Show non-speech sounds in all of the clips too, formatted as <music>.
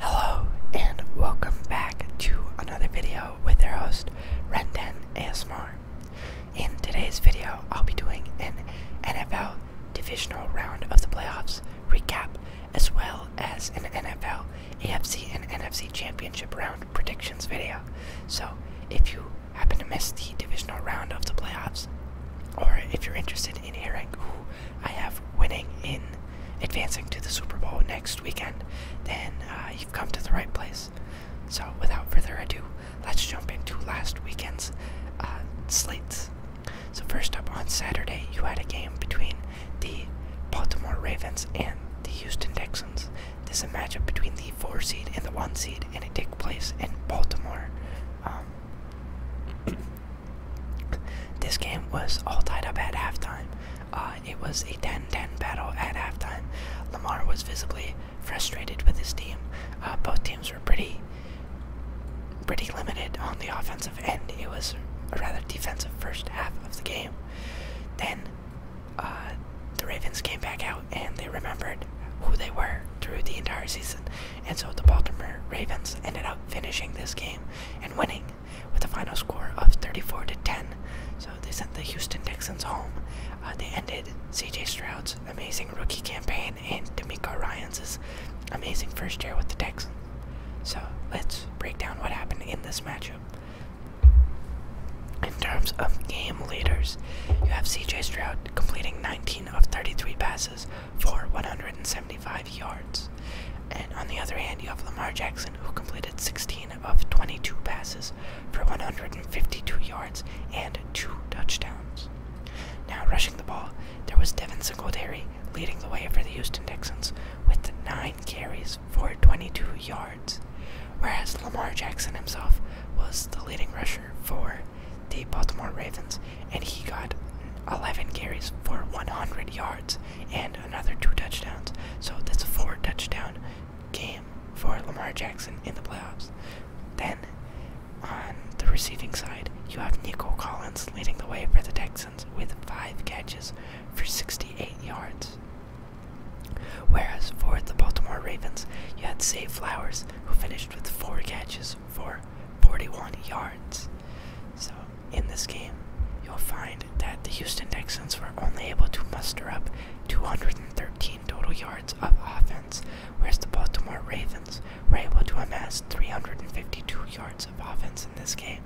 Hello and welcome back to another video with our host Renden Asmar. In today's video, I'll be doing an NFL divisional round of the playoffs recap as well as an NFL, AFC, and NFC championship round predictions video. So if you happen to miss the divisional round of the playoffs, or if you're interested in hearing I have winning in advancing to the Super Bowl next weekend, then uh, you've come to the right place. So, without further ado, let's jump into last weekend's uh, slates. So, first up on Saturday, you had a game between the Baltimore Ravens and the Houston Texans. This is a matchup between the four seed and the one seed, and it takes place in Baltimore. Um, this game was all tied up at halftime. Uh, it was a 10-10 battle at halftime. Lamar was visibly frustrated with his team. Uh, both teams were pretty, pretty limited on the offensive end. It was a rather defensive first half of the game. Then uh, the Ravens came back out and they remembered who they were through the entire season. And so the Baltimore Ravens ended up finishing this game and winning with a final score of 34 to 10. So they sent the Houston Texans home. Uh, they ended C.J. Stroud's amazing rookie campaign and D'Amico Ryan's amazing first year with the Texans. So let's break down what happened in this matchup. In terms of game leaders, you have C.J. Stroud completing 19 of 33 passes for 175 yards. And on the other hand, you have Lamar Jackson, who completed 16 of 22 passes for 152 yards and two touchdowns. Now, rushing the ball, there was Devin Singletary leading the way for the Houston Texans with 9 carries for 22 yards, whereas Lamar Jackson himself was the leading rusher for the Baltimore Ravens and he got 11 carries for 100 yards and another two touchdowns. So that's a four touchdown game for Lamar Jackson in the playoffs. Then on the receiving side, you have Nico Collins leading the way for the Texans with five catches for 68 yards. Whereas for the Baltimore Ravens, you had Say Flowers, who finished with four catches for 41 yards. So in this game, you'll find that the Houston Texans were only able to muster up 213 total yards of offense, whereas the Baltimore Ravens were able to amass 352 yards of offense in this game.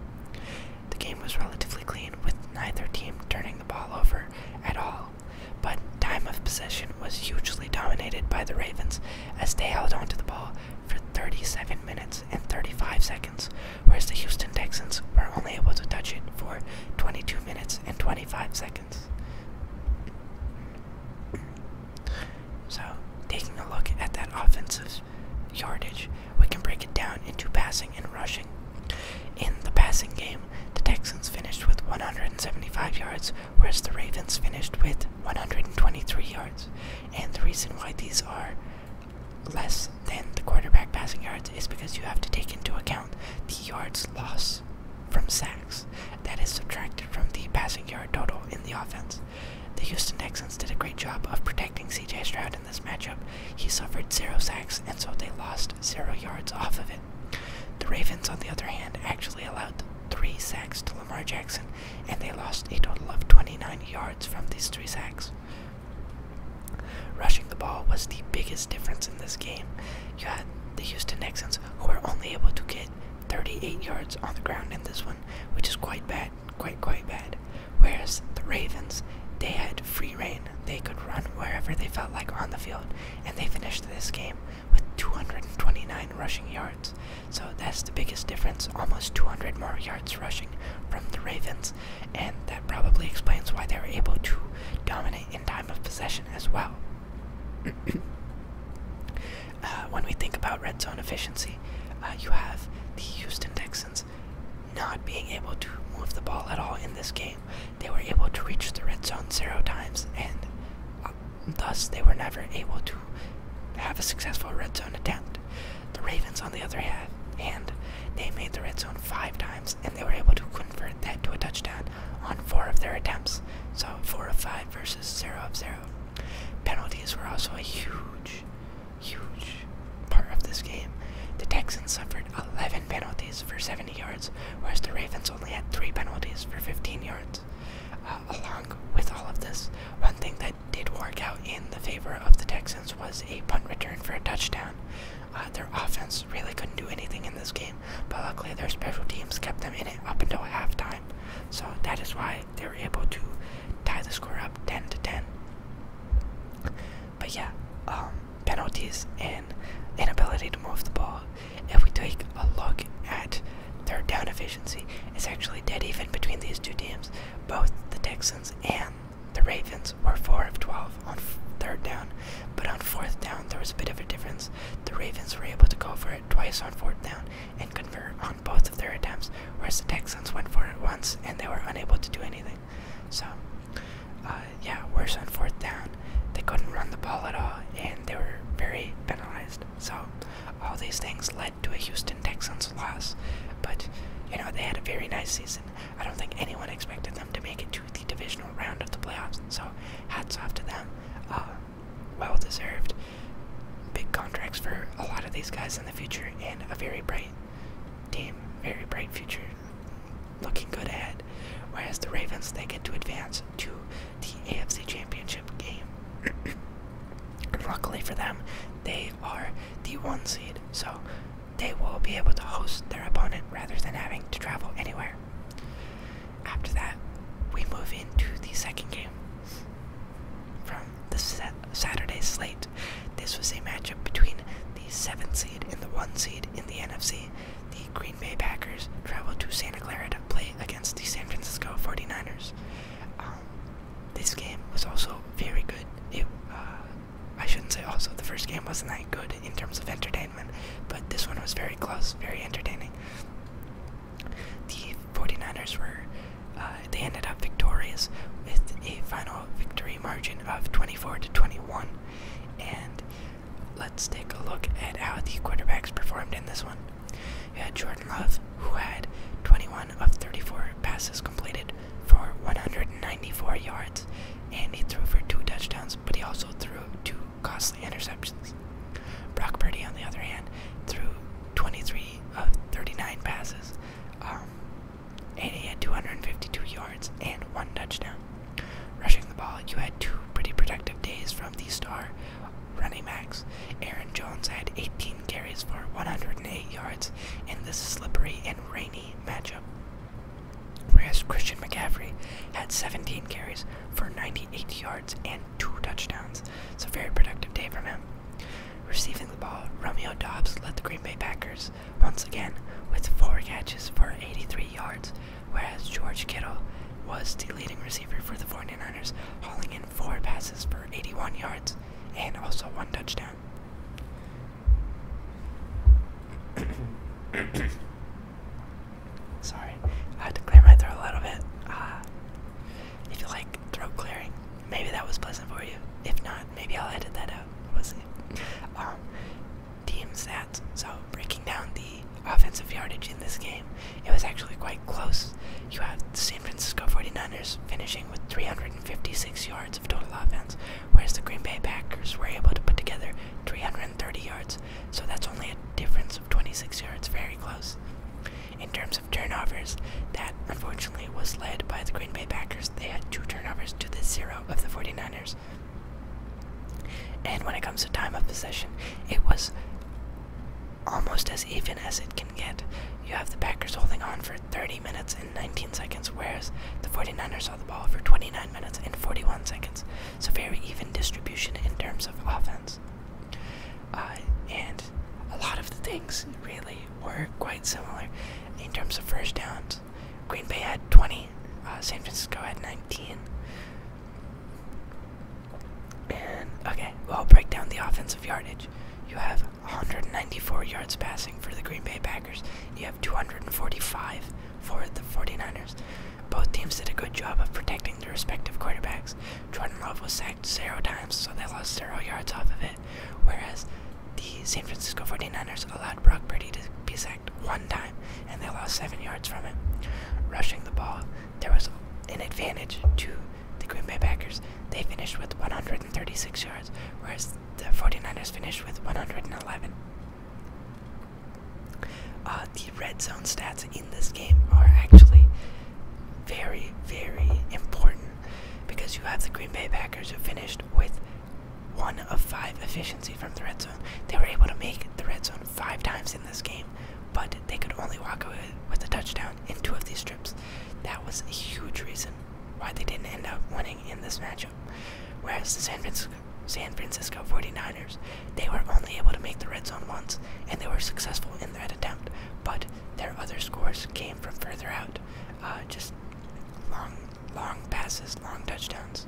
The game was relatively clean, with neither team turning the ball over at all, but time of possession was hugely dominated by the Ravens as they held onto the ball for 37 minutes and 35 seconds, whereas the Houston Texans were only able to touch it for 22 minutes and 25 seconds. So, taking a look at that offensive yardage, we can break it down into passing and rushing. In the passing game, the Texans finished with 175 yards, whereas the Ravens finished with 123 yards. And the reason why these are less than the quarterback passing yards is because you have to take into account the yards lost from sacks that is subtracted from the passing yard total in the offense. The Houston Texans did a great job of protecting CJ Stroud in this matchup. He suffered zero sacks, and so they lost zero yards off of it. The Ravens, on the other hand, actually allowed three sacks to Lamar Jackson, and they lost a total of 29 yards from these three sacks. Rushing the ball was the biggest difference in this game. You had the Houston Texans, who were only able to get 38 yards on the ground in this one, which is quite bad, quite, quite bad. Whereas the Ravens, they had free reign. They could run wherever they felt like on the field, and they finished this game with 229 rushing yards. So that's the biggest difference, almost 200 more yards rushing from the Ravens, and that probably explains why they were able to dominate in time of possession as well. <coughs> Uh, when we think about red zone efficiency, uh, you have the Houston Texans not being able to move the ball at all in this game. They were able to reach the red zone zero times, and uh, thus they were never able to have a successful red zone attempt. The Ravens, on the other hand, they made the red zone five times and they were able to convert that to a touchdown on four of their attempts. So four of five versus zero of zero. Penalties were also a huge, huge part of this game. The Texans suffered 11 penalties for 70 yards, whereas the Ravens only had three penalties for 15 yards. Uh, along with all of this, one thing that did work out in the favor of the Texans was a punt return for a touchdown. Uh, their offense really couldn't do anything in this game, but luckily their special teams kept them in it up until halftime. So that is why they were able to tie the score up 10 to 10. But yeah, um, penalties and inability to move the ball. If we take a look at their down efficiency, it's actually dead even between these two teams. Both the Texans and the Ravens were 4 of 12 on third down, but on fourth down there was a bit of a difference. The Ravens were able to go for it twice on fourth down and convert on both of their attempts, whereas the Texans went for it once and they were unable to do anything. So, uh, yeah, worse on fourth down. They couldn't run the ball at all and they were very penalized. So, all these things led to a Houston Texans loss, but you know they had a very nice season. I don't think anyone expected them to make it to the divisional round of the playoffs, so hats off to them. Uh, well deserved. Big contracts for a lot of these guys in the future, and a very bright team, very bright future, looking good ahead. Whereas the Ravens, they get to advance to the AFC Championship game. <coughs> And luckily for them, they are the one seed, so they will be able to host their opponent rather than having to travel anywhere. After that, we move into the second game from the Saturday slate. This was a matchup between the 7th seed and the 1 seed in the NFC. The Green Bay Packers traveled to Santa Clara to play against the San Francisco 49ers. This game was also very good. Uh, I shouldn't say also, the first game wasn't that good in terms of entertainment, but this one was very close, very entertaining. The 49ers were, uh, they ended up victorious with a final victory margin of 24 to 21. And let's take a look at how the quarterbacks performed in this one. You had Jordan Love, who had 21 of 34 passes completed for 194 yards, and he threw for two touchdowns, but he also threw two costly interceptions. Brock Purdy, on the other hand, threw 23 of 39 passes, um, and he had 252 yards and one touchdown. Rushing the ball, you had two pretty productive days from the star Running backs. Aaron Jones had 18 carries for 108 yards in this slippery and rainy matchup. Whereas Christian McCaffrey had 17 carries for 98 yards and two touchdowns. It's a very productive day from him. Receiving the ball, Romeo Dobbs led the Green Bay Packers once again with four catches for 83 yards, whereas George Kittle was the leading receiver for the 49ers, hauling in four passes 81 yards and also one touchdown. <coughs> Sorry, I had to clear my throat a little bit. Uh, if you like throat clearing, maybe that was pleasant for you. If not, maybe I'll edit that out. We'll um, team stats. So breaking down the offensive yardage in this game. It was actually quite close. You have the San Francisco 49ers finishing with 356 yards of total offense, whereas the Green Bay Packers were able to put together 330 yards. So that's only a difference of 26 yards, very close. In terms of turnovers, that unfortunately was led by the Green Bay Packers. They had two turnovers to the zero of the 49ers. And when it comes to time of possession, it was almost as even as it can get. You have the Packers holding on for 30 minutes and 19 seconds, whereas the 49ers saw the ball for 29 minutes and 41 seconds. So, very even distribution in terms of offense. Uh, and a lot of the things really were quite similar in terms of first downs. Green Bay had 20, uh, San Francisco had 19. And okay, well, break down the offensive yardage. You have 194 yards passing for the Green Bay Packers. You have 245 for the 49ers. Both teams did a good job of protecting their respective quarterbacks. Jordan Love was sacked zero times, so they lost zero yards off of it. Whereas the San Francisco 49ers allowed Brock Purdy to be sacked one time, and they lost seven yards from it. Rushing the ball, there was an advantage to the Green Bay Packers. They finished with 136 yards, whereas the 49ers finished with 111. Uh, the red zone stats in this game are actually very, very important because you have the Green Bay Packers who finished with one of five efficiency from the red zone. They were able to make the red zone five times in this game, but they could only walk away with a touchdown in two of these trips, That was a huge reason why they didn't end up winning in this matchup. Whereas the San Francisco, San Francisco 49ers, they were only able to make the red zone once, and they were successful in that attempt. But their other scores came from further out, uh, just long, long passes, long touchdowns.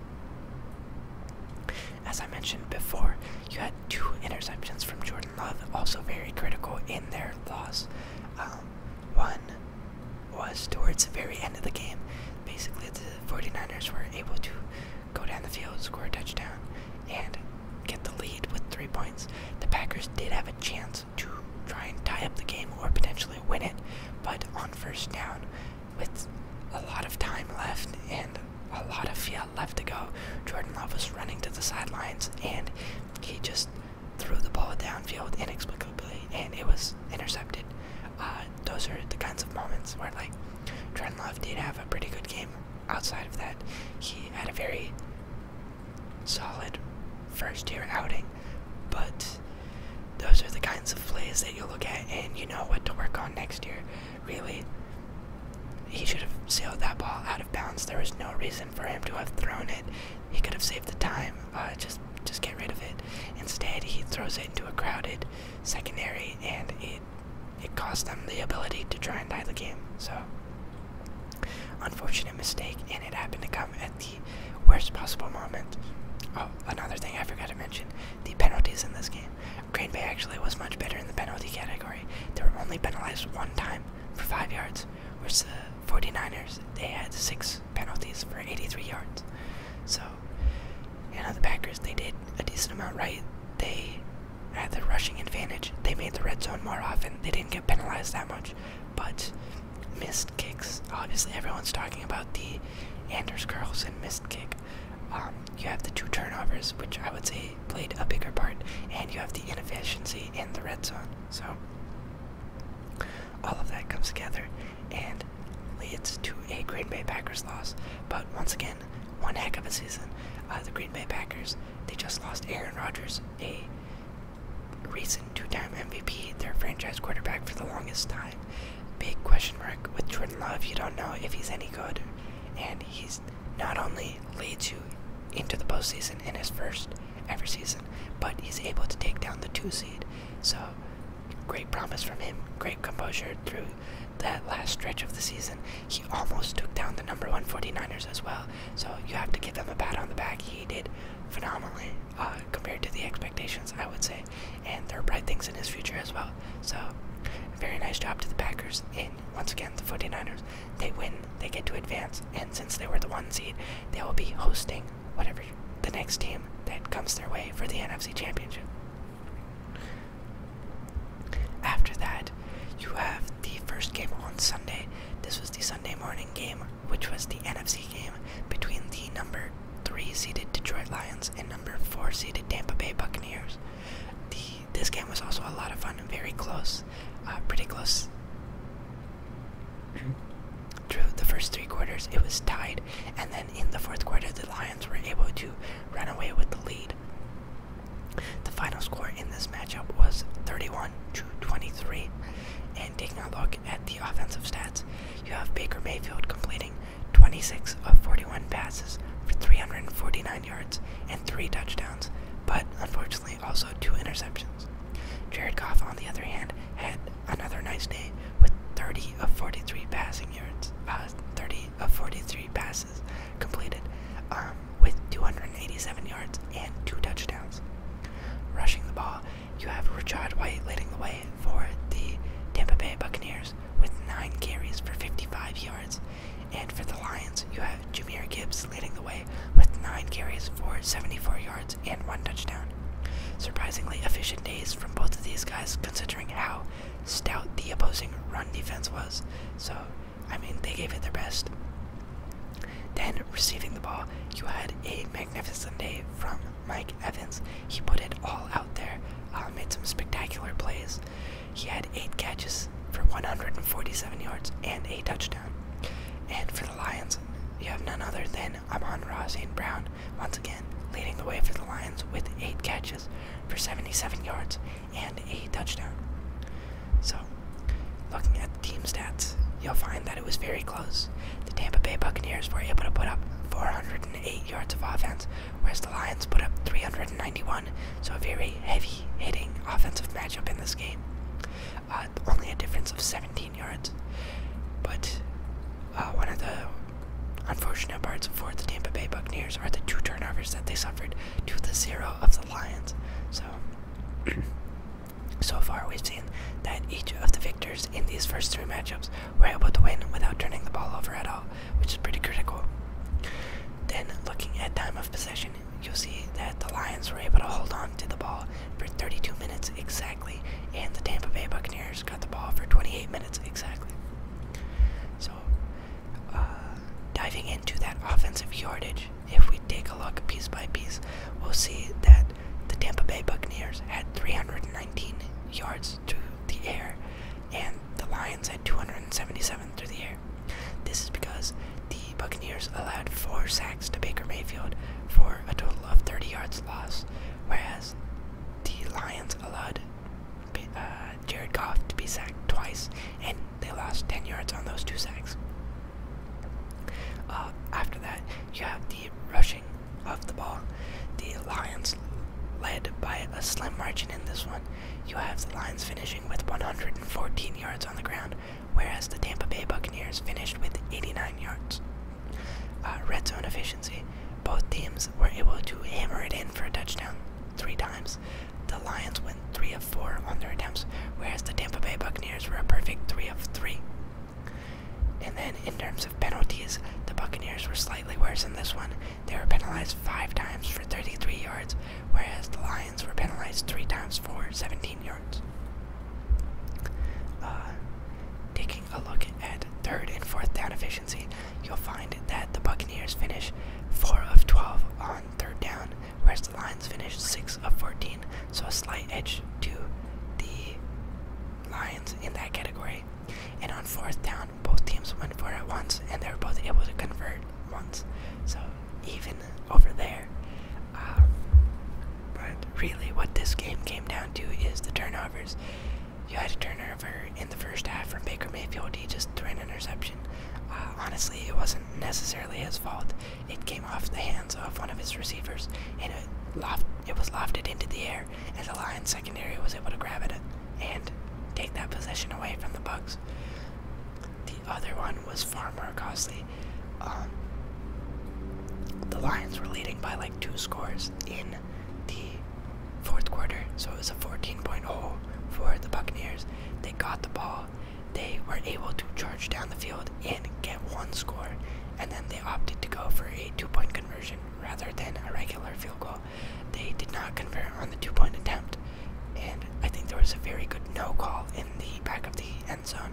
As I mentioned before, you had two interceptions from Jordan also very critical in their loss. Um, one was towards the very end of the game. Basically, the 49ers were able to go down the field, score a touchdown, and get the lead with three points. The Packers did have a chance to try and tie up the game or potentially win it, but on first down, with a lot of time left and a lot of field Garcia left to go. Jordan Love was running to the sidelines, and he just threw the ball downfield inexplicably, and it was intercepted. Uh, those are the kinds of moments where, like, Jordan Love did have a pretty good game. Outside of that, he had a very solid first-year outing, but those are the kinds of plays that you look at and you know what to work on next year. Really, he should have sailed that ball out of bounds. There was no reason for him to have thrown it. He could have saved the time. Uh, just, just get rid of it. Instead, he throws it into a crowded secondary, and it, it cost them the ability to try and tie the game. So, unfortunate mistake, and it happened to come at the worst possible moment. Oh, another thing I forgot to mention: the penalties in this game. Green Bay actually was much better in the penalty category. They were only penalized one time, for five yards, whereas the 49ers, they had six penalties for 83 yards. So, you know, the Packers, they did a decent amount right. They had the rushing advantage. They made the red zone more often. They didn't get penalized that much, but missed kicks. Obviously, everyone's talking about the Anders Carlson missed kick. Um, you have the two turnovers, which I would say played a bigger part, and you have the inefficiency in the red zone. So all of that comes together and leads to a Green Bay Packers loss. But once again, one heck of a season. Uh, the Green Bay Packers they just lost Aaron Rodgers, a recent two-time MVP, their franchise quarterback for the longest time. Big question mark with Jordan Love. You don't know if he's any good, and he's not only leads you into the postseason in his first ever season, but he's able to take down the two seed. So, great promise from him, great composure through that last stretch of the season. He almost took down the number one 49ers as well, so you have to give him a pat on the back. He did phenomenally uh, compared to the expectations, I would say, and there are bright things in his future as well. So, very nice job to the Packers, and once again, the 49ers, they win they get to advance, and since they were the one seed, they will be hosting whatever the next team that comes their way for the NFC Championship. After that, you have the first game on Sunday. This was the Sunday morning game, which was the NFC game between the number three seeded Detroit Lions and number four seeded Tampa Bay Buccaneers. The this game was also a lot of fun and very close, uh, pretty close. Through the first three quarters, it was tied, and then in the fourth quarter, the Lions were able to run away with the lead. The final score in this matchup was 31 to 23. And taking a look at the offensive stats, you have Baker Mayfield completing 26 of 41 passes for 349 yards and three touchdowns, but unfortunately also two interceptions. Jared Goff, on the other hand, had another nice day with 30 of 43 passing yards, uh, 30 of 43 passes completed, um, with 287 yards and two touchdowns. Rushing the ball, you have Rashad White leading the way for the Tampa Bay Buccaneers with nine carries for 55 yards and for the Lions, you have Jameer Gibbs leading the way with 9 carries for 74 yards and 1 touchdown. Surprisingly efficient days from both of these guys considering how stout the opposing run defense was. So, I mean, they gave it their best. Then, receiving the ball, you had a magnificent day from Mike Evans. He put it all out there, uh, made some spectacular plays. He had eight catches for 147 yards and a touchdown. And for the Lions, you have none other than Amon Ross and Brown, once again leading the way for the Lions with eight catches for 77 yards and a touchdown. So, looking at the team stats, you'll find that it was very close. The Tampa Bay Buccaneers were able to put up 408 yards of offense, whereas the Lions put up 391, so a very heavy hitting offensive matchup in this game. Uh, only a difference of 17 yards. But uh, one of the unfortunate parts for the Tampa Bay Buccaneers are the two turnovers that they suffered to the zero of the Lions. So, <clears throat> so far we've seen that each of the victors in these first three matchups were able to win without turning the ball over at all, which is pretty critical. Then, looking at time of possession, you'll see that the Lions were able to hold on to the ball for 32 minutes exactly, and the Tampa Bay Buccaneers got the ball for 28 minutes exactly. So, uh, diving into that offensive yardage, if we take a look piece by piece, we'll see that the Tampa Bay Buccaneers had 319 yards to the air, and the Lions had 277 through the air. This is because the Buccaneers allowed four sacks to Baker Mayfield for a total of 30 yards lost, whereas the Lions allowed uh, Jared Goff to be sacked twice, and they lost 10 yards on those two sacks. Uh, after that, you have the rushing of the ball. The Lions led by a slim margin in this one, you have the Lions finishing with 114 yards on the ground, whereas the Tampa Bay Buccaneers finished with 89 yards. Uh, red zone efficiency. Both teams were able to hammer it in for a touchdown three times. The Lions went 3 of 4 on their attempts, whereas the Tampa Bay Buccaneers were a perfect 3 of 3. And then, in terms of penalties, the Buccaneers were slightly worse in this one. They were penalized five times for 33 yards, whereas the Lions were penalized three times for 17 yards. Uh, taking a look at third and fourth down efficiency, you'll find that the Buccaneers finish 4 of 12 on third down, whereas the Lions finish 6 of 14, so a slight edge to the Lions in that category. And on fourth down, both teams went for it once, and they were both able to convert once. So even over there. Um, but really, what this game came down to is the turnovers. You had a turnover in the first half from Baker Mayfield. He just threw an interception. Uh, honestly, it wasn't necessarily his fault. It came off the hands of one of his receivers, and it, loft, it was lofted into the air. And the Lions secondary was able to grab it and take that possession away from the Bucks. The other one was far more costly. Um, the Lions were leading by like two scores in the fourth quarter, so it was a 14 point hole for the Buccaneers. They got the ball, they were able to charge down the field and get one score, and then they opted to go for a two point conversion rather than a regular field goal. They did not convert on the two point attempt, and I think there was a very good no call in the back of the end zone.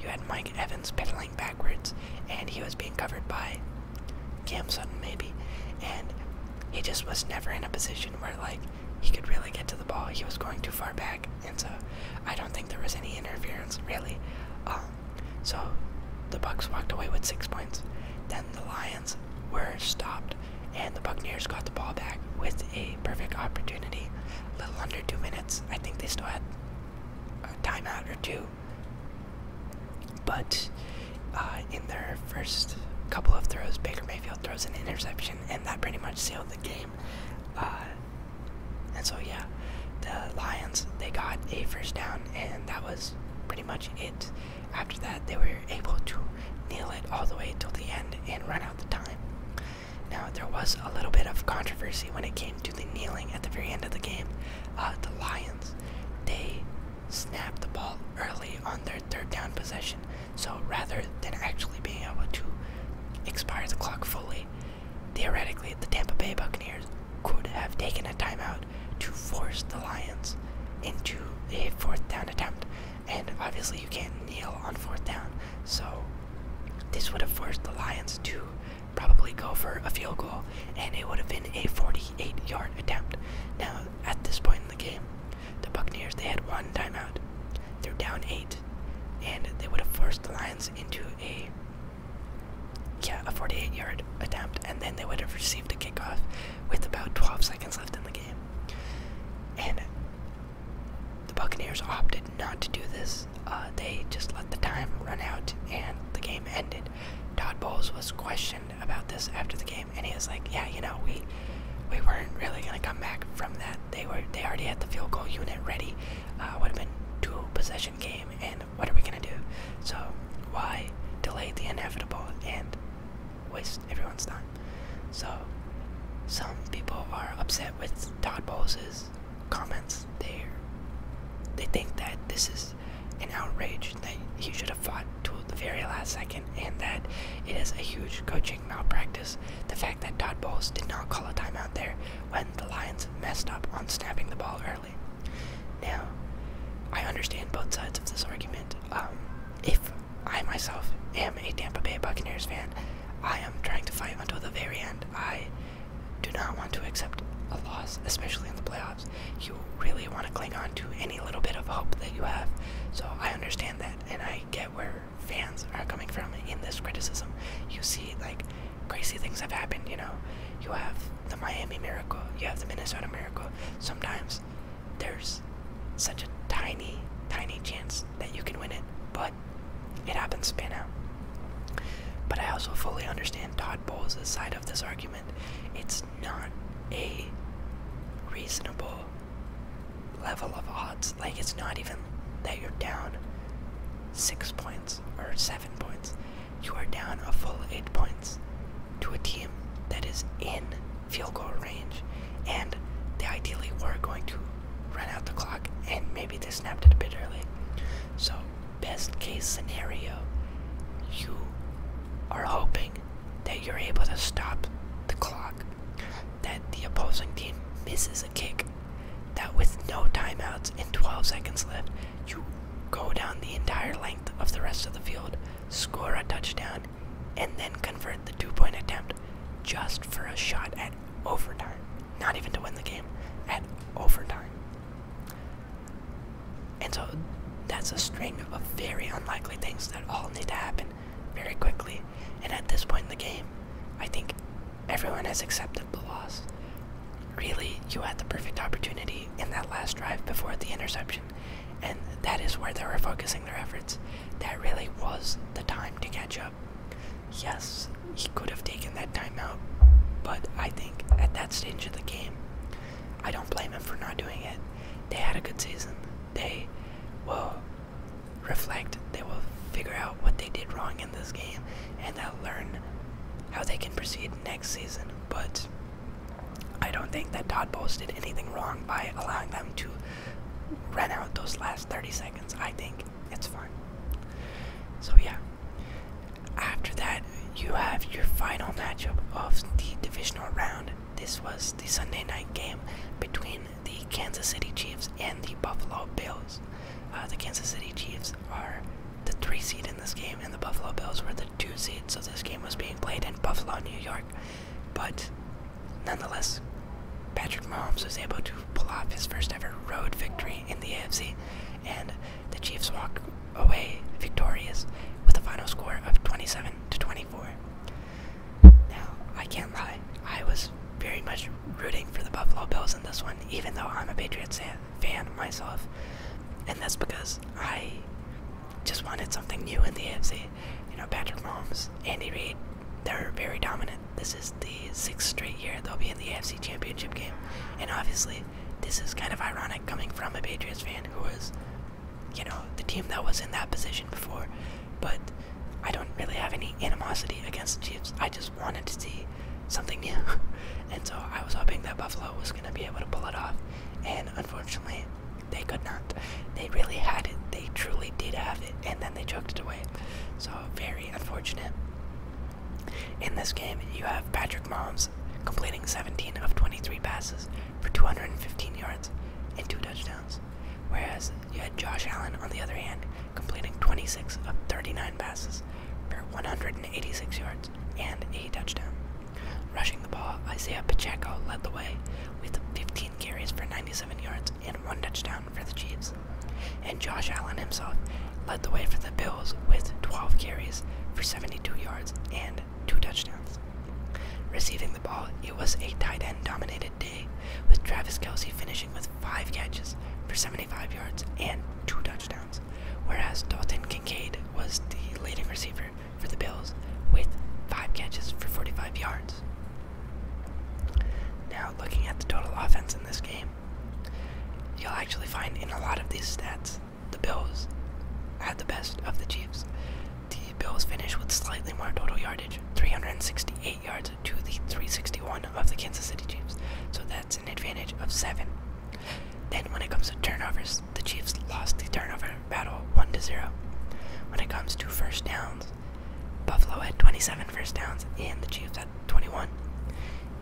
You had Mike Evans pedaling backwards, and he was being covered by Cam Sutton, maybe, and he just was never in a position where, like, he could really get to the ball. He was going too far back, and so I don't think there was any interference, really. Um, so the Bucks walked away with six points. Then the Lions were stopped, and the Buccaneers got the ball back with a perfect opportunity. A little under two minutes. I think they still had a timeout or two. But uh, in their first couple of throws, Baker Mayfield throws an interception, and that pretty much sealed the game. Uh, and so, yeah, the Lions, they got a first down, and that was pretty much it. After that, they were able to kneel it all the way till the end and run out the time. Now, there was a little bit of controversy when it came to the kneeling at the very end of the game. Uh, the Lions, they snapped the ball early on their third down possession, so rather than actually being able to expire the clock fully, theoretically the Tampa Bay Buccaneers could have taken a timeout to force the Lions into a fourth down attempt and obviously you can't kneel on fourth down. So this would have forced the Lions to probably go for a field goal, and it would have been a 48-yard attempt. Now, at this point in the game, the Buccaneers they had one timeout. They're down eight, and they would have forced the Lions into a yeah a 48-yard attempt, and then they would have received a kickoff with about 12 seconds left in the game. And the Buccaneers opted not to do this. Uh, they just let the time run out and the game ended. Todd Bowles was questioned about this after the game, and he was like, "Yeah, you know, we we weren't really gonna come back from that. They were they already had the field goal unit ready. Uh, would have been two possession game, and what are we gonna do? So why delay the inevitable?" And waste everyone's time. So, some people are upset with Todd Bowles' comments. They they think that this is an outrage that he should have fought to the very last second, and that it is a huge coaching malpractice. The fact that Todd Bowles did not call a timeout there when the Lions messed up on snapping the ball early. Now, I understand both sides of this argument. Um, if I myself am a Tampa Bay Buccaneers fan, I am trying to fight until the very end. I do not want to accept a loss, especially in the playoffs. You really want to cling on to any little bit of hope that you have. So I understand that, and I get where fans are coming from in this criticism. You see, like, crazy things have happened, you know. You have the Miami Miracle, you have the Minnesota Miracle. Sometimes there's such a tiny, tiny chance that you can win it, but it happens to pan out. But I also fully understand Todd Bowles' side of this argument. It's not a reasonable level of odds. Like, it's not even that you're down six points or seven points. You are down a full eight points to a team that is in field goal range, and they ideally were going to run out the clock, and maybe they snapped it a bit early. So, best case scenario, you are hoping that you're able to stop the clock, that the opposing team misses a kick, that with no timeouts and 12 seconds left, you go down the entire length of the rest of the field, score a touchdown, and then convert the two point attempt just for a shot at overtime. Not even to win the game, at overtime. And so that's a string of very unlikely things that all need to happen very quickly. And at this point in the game, I think everyone has accepted the loss. Really, you had the perfect opportunity in that last drive before the interception. And that is where they were focusing their efforts. That really was the time to catch up. Yes, he could have taken that time out, but I think at that stage of the game, I don't blame him for not doing it. They had a good season. They will reflect, they will figure out what they did wrong in this game, and they'll learn how they can proceed next season. But I don't think that Todd Bowles did anything wrong by allowing them to run out those last 30 seconds. I think it's fine. So, yeah. After that, you have your final matchup of the divisional round. This was the Sunday night game between the Kansas City Chiefs and the Buffalo Bills. Uh, the Kansas City Chiefs are the three seed in this game, and the Buffalo Bills were the two seed, so this game was being played in Buffalo, New York. But nonetheless, Patrick Mahomes was able to pull off his first ever road victory in the AFC, and the Chiefs walk away victorious with a final score of 27 to 24. Now, I can't lie, I was very much rooting for the Buffalo Bills in this one, even though I'm a Patriots fan myself, and that's because I just wanted something new in the AFC. You know, Patrick Mahomes, Andy Reid, they're very dominant. This is the sixth straight year they'll be in the AFC Championship game. And obviously, this is kind of ironic coming from a Patriots fan who was, you know, the team that was in that position before. But I don't really have any animosity against the Chiefs. I just wanted to see something new. <laughs> and so I was hoping that Buffalo was going to be able to pull it off. And unfortunately, they could not. They really had it. They truly did have it, and then they choked it away. So very unfortunate. In this game, you have Patrick Mahomes completing 17 of 23 passes for 215 yards and two touchdowns, whereas you had Josh Allen on the other hand completing 26 of 39 passes for 186 yards and a touchdown. Rushing the ball, Isaiah Pacheco led the way with 15 carries for 97 yards and one touchdown for the Chiefs. And Josh Allen himself led the way for the Bills with 12 carries for 72 yards and two touchdowns. Receiving the ball, it was a tight end dominated day, with Travis Kelsey finishing with 5 catches for 75 yards and two touchdowns, whereas Dalton Kincaid was the leading receiver for the Bills with five catches for 45 yards. Now, looking at the total offense in this game, you'll actually find in a lot of these stats the Bills had the best of the Chiefs. The Bills finished with slightly more total yardage, 368 yards to the 361 of the Kansas City Chiefs, so that's an advantage of 7. Then, when it comes to turnovers, the Chiefs lost the turnover battle 1 to 0. When it comes to first downs, Buffalo had 27 first downs and the Chiefs had 21.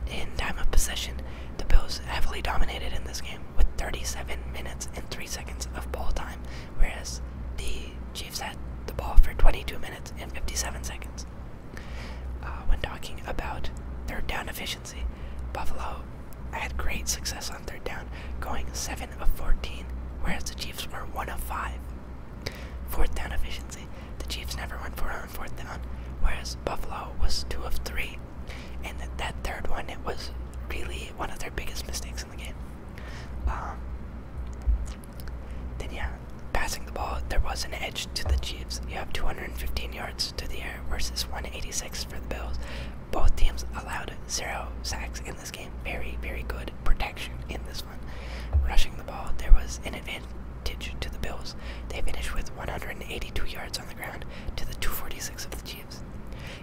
In time of possession, the Bills heavily dominated in this game with 37 minutes and 3 seconds of ball time, whereas the Chiefs had the ball for 22 minutes and 57 seconds. Uh, when talking about third down efficiency, Buffalo I had great success on third down, going 7 of 14, whereas the Chiefs were 1 of 5. Fourth down efficiency, the Chiefs never went for on fourth down, whereas Buffalo was 2 of 3. And that, third one, it was really one of their biggest mistakes in the game. Um, then, yeah, passing the ball, there was an edge to the Chiefs. You have 215 yards to the air versus 186 for the Bills. Both teams allowed zero sacks in this game. Very, very good protection in this one. Rushing the ball, there was an advantage to the Bills. They finished with 182 yards on the ground to the 246 of the Chiefs.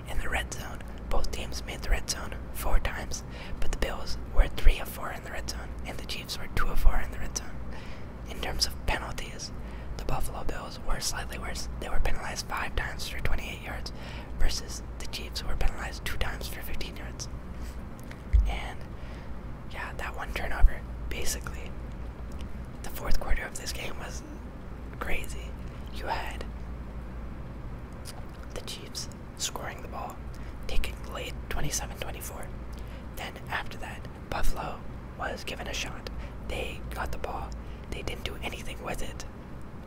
In the red zone, both teams made the red zone four times, but the Bills were 3 of 4 in the red zone, and the Chiefs were 2 of 4 in the red zone. In terms of penalties, the Buffalo Bills were slightly worse. They were penalized five times for 28 yards, versus the Chiefs, who were penalized two times for 15 yards. And yeah, that one turnover, basically. The fourth quarter of this game was crazy. You had the Chiefs scoring the ball, taking late 27 24. Then, after that, Buffalo was given a shot. They got the ball, they didn't do anything with it.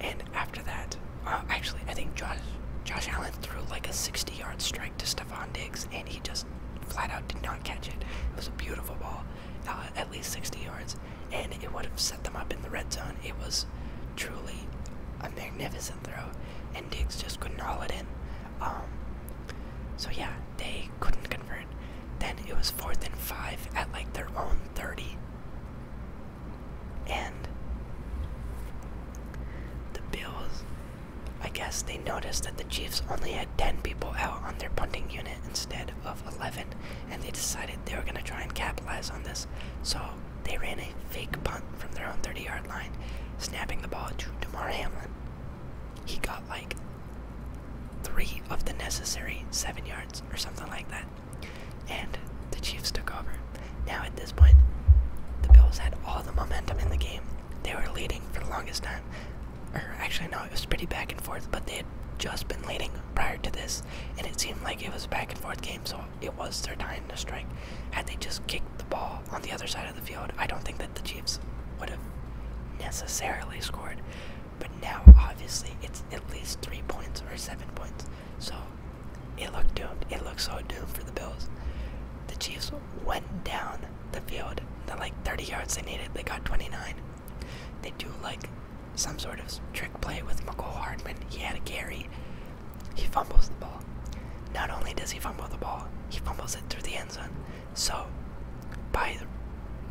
And after that, uh, actually, I think Josh Allen threw like a 60-yard strike to Stephon Diggs, and he just flat out did not catch it. It was a beautiful ball, uh, at least 60 yards, and it would have set them up in the red zone. It was truly a magnificent throw, and Diggs just couldn't roll it in. Um, so yeah, they couldn't convert. Then it was fourth and five at like their own 30. And the Bills, I guess they noticed that the Chiefs only had 10 people out on their punting unit instead of 11, and they decided they were going to try and capitalize on this. So they ran a fake punt from their own 30 yard line, snapping the ball to DeMar Hamlin. He got like three of the necessary seven yards or something like that and the Chiefs took over. Now, at this point, the Bills had all the momentum in the game. They were leading for the longest time. Or, actually, no, it was pretty back and forth, but they had just been leading prior to this, and it seemed like it was a back and forth game, so it was their time to strike. Had they just kicked the ball on the other side of the field, I don't think that the Chiefs would have necessarily scored. But now, obviously, it's at least three points or seven points. So it looked doomed. It looked so doomed for the Bills. The Chiefs went down the field. The like 30 yards they needed, they got 29. They do like some sort of trick play with McCole Hardman. He had a carry. He fumbles the ball. Not only does he fumble the ball, he fumbles it through the end zone. So, by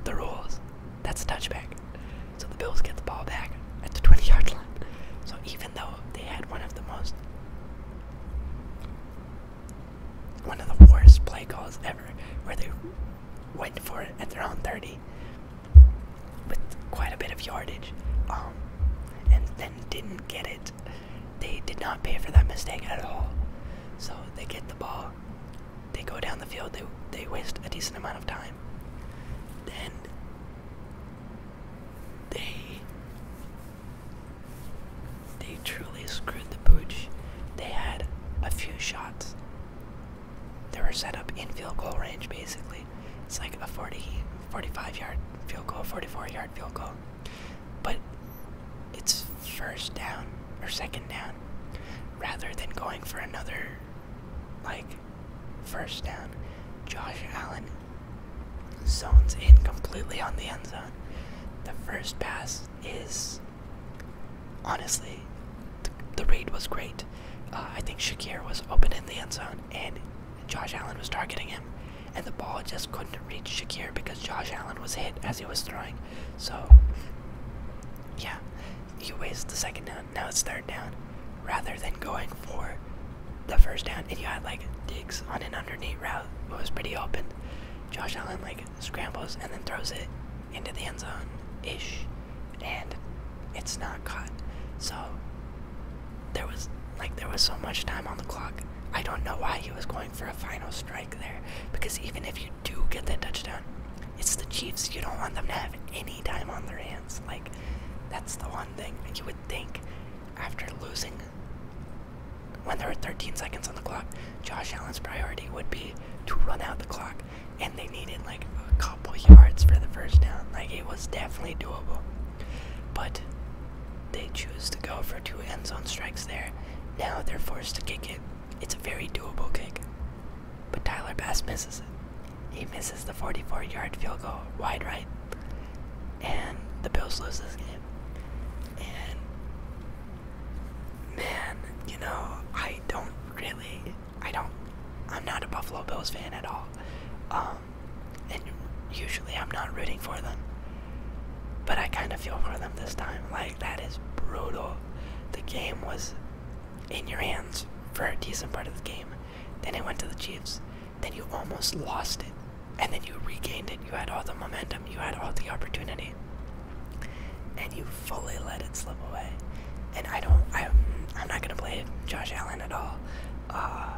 the rules, that's a touchback. So the Bills get the ball back at the 20 yard line. So even though they had one of the most, one of the worst play calls ever, where they went for it at their own 30 with quite a bit of yardage, um, and then didn't get it, they did not pay for that mistake at all. So they get the ball, they go down the field, they, they waste a decent amount of time. Then they they truly screwed the pooch. They had a few shots. They were set up in field goal range basically. It's like a 40, 45 yard field goal, 44 yard field goal. But it's first down or second down rather than going for another like first down. Josh Allen zones in completely on the end zone. The first pass is honestly, the, read was great. Uh, I think Shakir was open in the end zone, and Josh Allen was targeting him, and the ball just couldn't reach Shakir because Josh Allen was hit as he was throwing. So, yeah, he waste the second down now it's third down, rather than going for the first down. And you had like digs on an underneath route, it was pretty open. Josh Allen like scrambles and then throws it into the end zone ish, and it's not caught. So there was like there was so much time on the clock. I don't know why he was going for a final strike there because even if you do get that touchdown, it's the Chiefs. You don't want them to have any time on their hands. Like, that's the one thing you would think after losing. When there were 13 seconds on the clock, Josh Allen's priority would be to run out the clock, and they needed like a couple yards for the first down. Like, it was definitely doable. But they choose to go for two end zone strikes there. Now they're forced to kick it. It's a very doable kick. But Tyler Bass misses it. He misses the 44 yard field goal wide right. And the Bills lose this game. And man, you know, I don't really I don't I'm not a Buffalo Bills fan at all. Um and usually I'm not rooting for them. But I kind of feel for them this time. Like that is brutal. The game was in your hands for a decent part of the game. Then it went to the Chiefs. Then you almost lost it. And then you regained it. You had all the momentum. You had all the opportunity. And you fully let it slip away. And I don't, I, I'm not going to blame Josh Allen at all. Uh,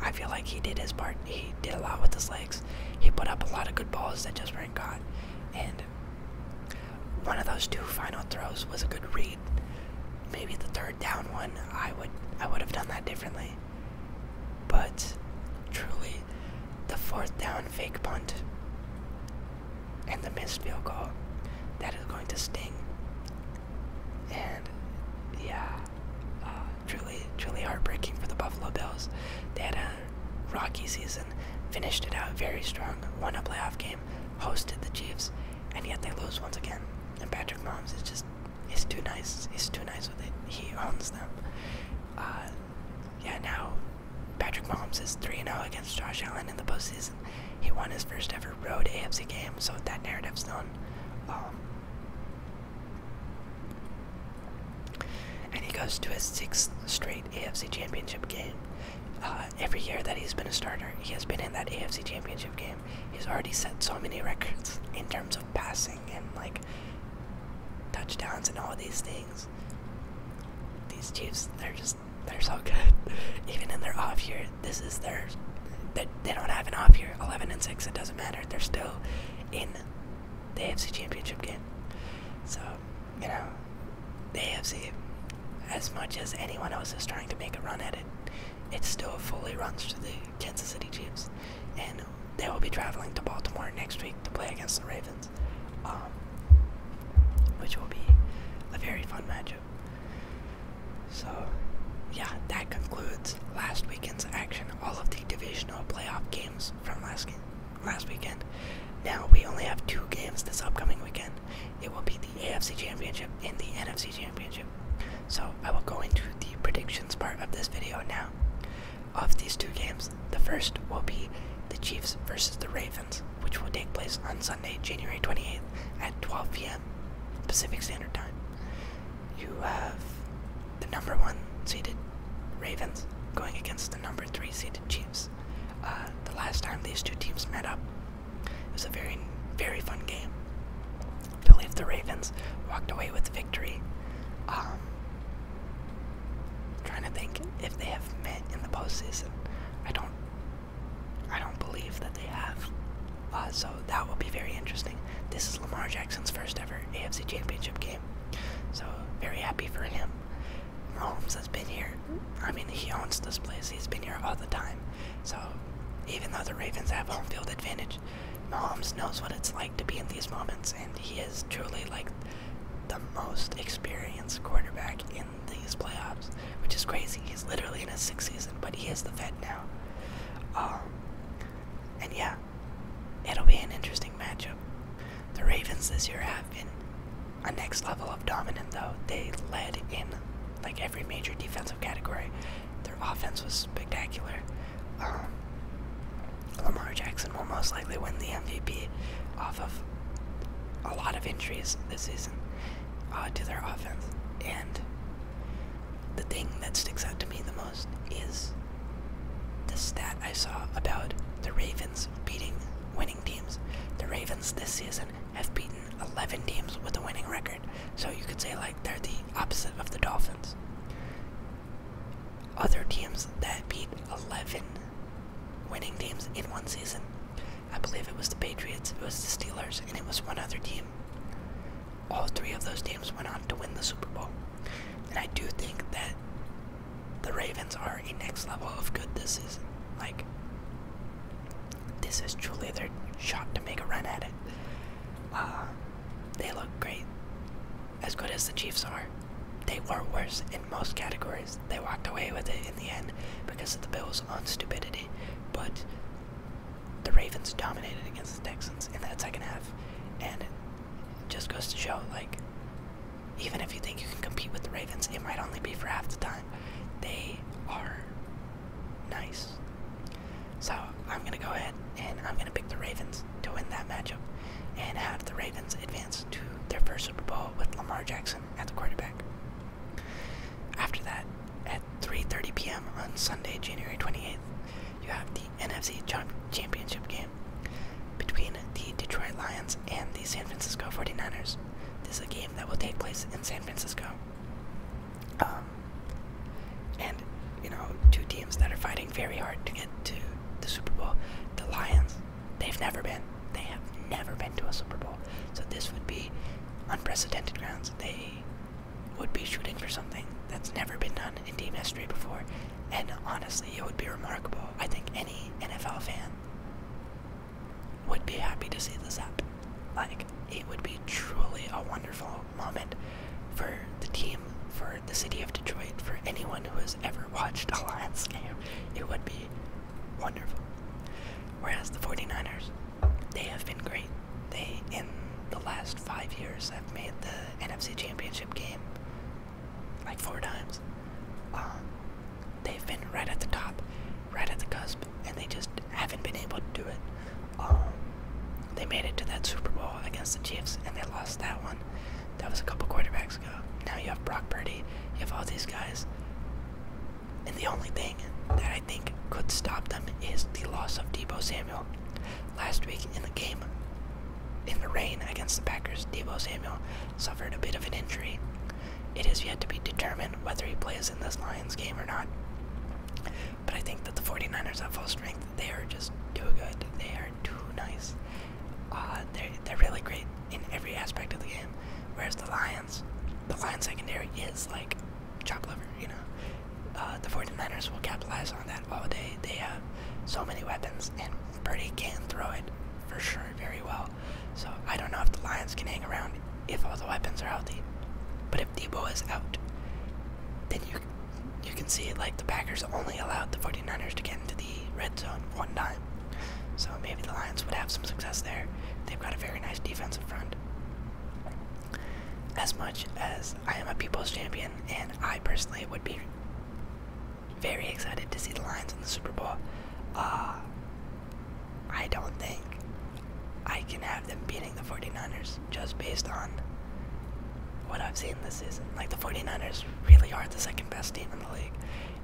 I feel like he did his part. He did a lot with his legs. He put up a lot of good balls that just weren't caught. And one of those two final throws was a good read. Maybe the third down one, I would I would have done that differently. But truly, the fourth down fake punt and the missed field goal, that is going to sting. And yeah, uh, truly, truly heartbreaking for the Buffalo Bills. They had a rocky season, finished it out very strong, won a playoff game, hosted the Chiefs, and yet they lose once again. And Patrick Mahomes is just, he's too nice. He's too nice with it. He owns them. Uh, yeah, now Patrick Mahomes is 3 0 against Josh Allen in the postseason. He won his first ever road AFC game, so that narrative's done. Um, and he goes to his sixth straight AFC Championship game. Uh, every year that he's been a starter, he has been in that AFC Championship game. He's already set so many records in terms of passing and like touchdowns and all these things. These Chiefs, they're just they're so good. <laughs> Even in their off year, this is they, they don't have an off year. 11 and 6, it doesn't matter. They're still in the AFC Championship game. So you know, the AFC, as much as anyone else is trying to make a run at it, it still fully runs to the Kansas City Chiefs, and they will be traveling to Baltimore next week to play against the Ravens, um, which will be a very fun matchup. So, yeah, that concludes last weekend's action. All of the divisional playoff games from last last weekend. Now we only have two games this upcoming weekend. It will be the AFC Championship and the NFC Championship. So I will go into the predictions part of this video now. Of these two games, the first will be the Chiefs versus the Ravens, which will take place on Sunday, January 28th at 12 p.m. Pacific Standard Time. You have the number one seeded Ravens going against the number three seeded Chiefs. Uh, the last time these two teams met up, it was a very, very fun game. I believe the Ravens walked away with victory. I'm um, trying to think if they have met in the postseason. I don't. I don't believe that they have. Uh, so that will be very interesting. This is Lamar Jackson's first ever AFC Championship game. So very happy for him. Mahomes has been here. I mean, he owns this place. He's been here all the time. So, even though the Ravens have home field advantage, Mahomes knows what it's like to be in these moments, and he is truly like the most experienced quarterback in these playoffs, which is crazy. He's literally in his sixth season, but he is the vet now. Um, and yeah, it'll be an interesting matchup. The Ravens this year have been a next level of dominant though. They led in like every major defensive category. Their offense was spectacular. Um, Lamar Jackson will most likely win the MVP off of a lot of injuries this season uh, to their offense. And the thing that sticks out to me the most is the stat I saw about the Ravens beating, winning teams. The Ravens this season have beaten 11 teams with a winning record. So you could say, like, they're the opposite of the Dolphins. Other teams that beat 11 winning teams in one season. I believe it was the Patriots, it was the Steelers, and it was one other team. All three of those teams went on to win the Super Bowl. And I do think that the Ravens are a next level of good this season. Like, this is truly their shot to make a run at it. Uh, they look great. As good as the Chiefs are, they were worse in most categories. They walked away with it in the end because of the Bills' own stupidity. But the Ravens dominated against the Texans in that second half, and it just goes to show, like, even if you think you can compete with the Ravens, it might only be for half the time. They are nice. So I'm gonna go ahead and I'm gonna pick the Ravens to win that matchup and have the Ravens advance to their first Super Bowl with Lamar Jackson at the quarterback. After that, at 3:30 p.m. on Sunday, January 28th, you have the NFC Championship game between the Detroit Lions and the San Francisco 49ers. This is a game that will take place in San Francisco. Um, and, you know, two teams that are fighting very hard to get to the Super Bowl. The Lions, they've never been. They have never been to a Super Bowl. So this would be unprecedented grounds. They would be shooting for something that's never been done in team history before. And honestly, it would be remarkable. I think any NFL fan would be happy to see this happen. Like, it would be truly a wonderful moment for the team, for the city of Detroit, for anyone who has ever watched a Lions game. It would be wonderful. Whereas the 49ers, they have been great. They, in the last five years, have made the NFC Championship game like four times. Um, they've been right at the top, right at the cusp, and they just haven't been able to do it. Um, they made it to that Super Bowl against the Chiefs, and they lost that one. That was a couple quarterbacks ago. Now you have Brock Purdy, you have all these guys. And the only thing that I think could stop them is the loss of Debo Samuel. Last week in the game, in the rain against the Packers, Debo Samuel suffered a bit of an injury. It has yet to be determined whether he plays in this Lions game or not. But I think that the 49ers at full strength, they are just too good. They are too nice. Uh, they're, they're really great in every aspect of the game. Whereas the Lions, the Lions secondary is like chop liver, you know. Uh, the 49ers will capitalize on that all day. They have so many weapons, and Purdy can throw it for sure very well. So I don't know if the Lions can hang around if all the weapons are healthy. But if Debo is out, then you you can see like the Packers only allowed the 49ers to get into the red zone one time. So maybe the Lions would have some success there. They've got a very nice defensive front. As much as I am a people's champion and I personally would be very excited to see the Lions in the Super Bowl. Uh, I don't think I can have them beating the 49ers just based on what I've seen this season. Like, the 49ers really are the second best team in the league.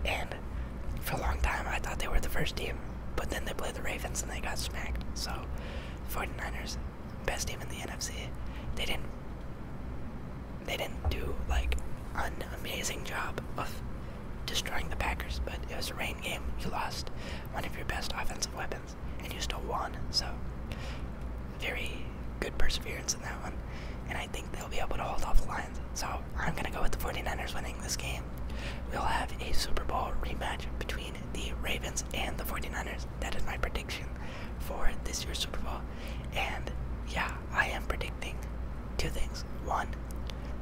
And for a long time, I thought they were the first team, but then they played the Ravens and they got smacked. So, the 49ers, best team in the NFC, they didn't they didn't do like an amazing job of destroying the Packers, but it was a rain game. You lost one of your best offensive weapons, and you still won. So, very good perseverance in that one. And I think they'll be able to hold off the Lions. So, I'm going to go with the 49ers winning this game. We'll have a Super Bowl rematch between the Ravens and the 49ers. That is my prediction for this year's Super Bowl. And yeah, I am predicting two things. One,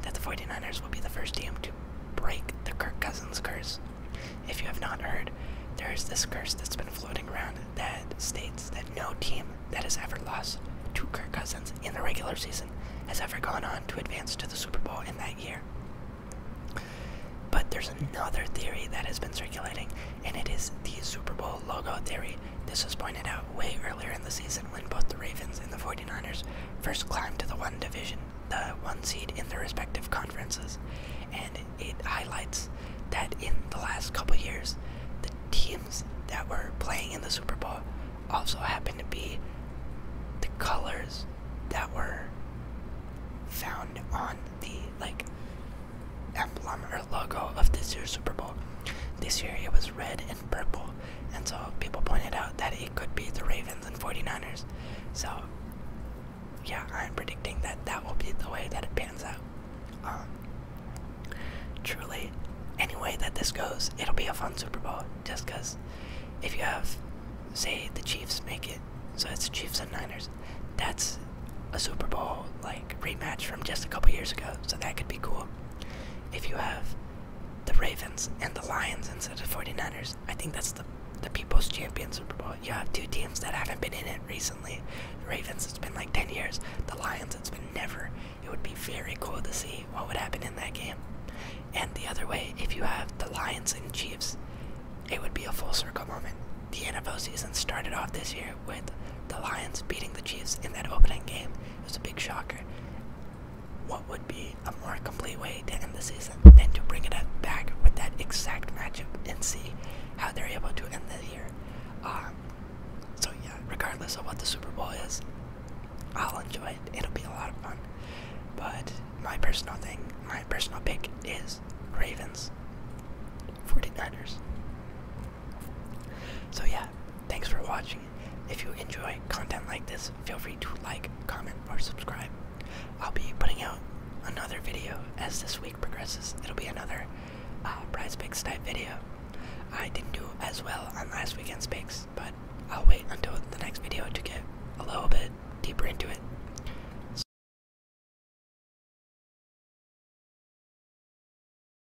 that the 49ers will be the first team to break the Kirk Cousins curse. If you have not heard, there is this curse that's been floating around that states that no team that has ever lost to Kirk Cousins in the regular season has ever gone on to advance to the Super Bowl in that year. But there's another theory that has been circulating, and it is the Super Bowl logo theory, this was pointed out way earlier in the season when both the Ravens and the 49ers first climbed to the one division, the one seed in their respective conferences. And it highlights that in the last couple years, the teams that were playing in the Super Bowl also happened to be the colors that were found on the like emblem logo of this year's Super Bowl. This year it was red and purple, and so people pointed out that it could be the Ravens and 49ers. So, yeah, I'm predicting that that will be the way that it pans out. Um, truly, any way that this goes, it'll be a fun Super Bowl just because if you have, say, the Chiefs make it, so it's Chiefs and Niners, that's a Super Bowl like rematch from just a couple years ago, so that could be cool if you have the Ravens and the Lions instead of 49ers, I think that's the the People's Champion Super Bowl. You have two teams that haven't been in it recently. The Ravens, it's been like 10 years. The Lions, it's been never. It would be very cool to see what would happen in that game. And the other way, if you have the Lions and Chiefs, it would be a full circle moment. The NFL season started off this year with the Lions beating the Chiefs in that opening game. It was a big shocker. What would be a more complete way to end the season than to bring it up back with that exact matchup and see how they're able to end the year? Um, so, yeah, regardless of what the Super Bowl is, I'll enjoy it. It'll be a lot of fun. But my personal thing, my personal pick is Ravens 49ers. So yeah, thanks for watching. If you enjoy content like this, feel free to like, comment, or subscribe. I'll be putting out another video as this week progresses. It'll be another prize uh, picks type video. I didn't do as well on last weekend's picks, but I'll wait until the next video to get a little bit deeper into it.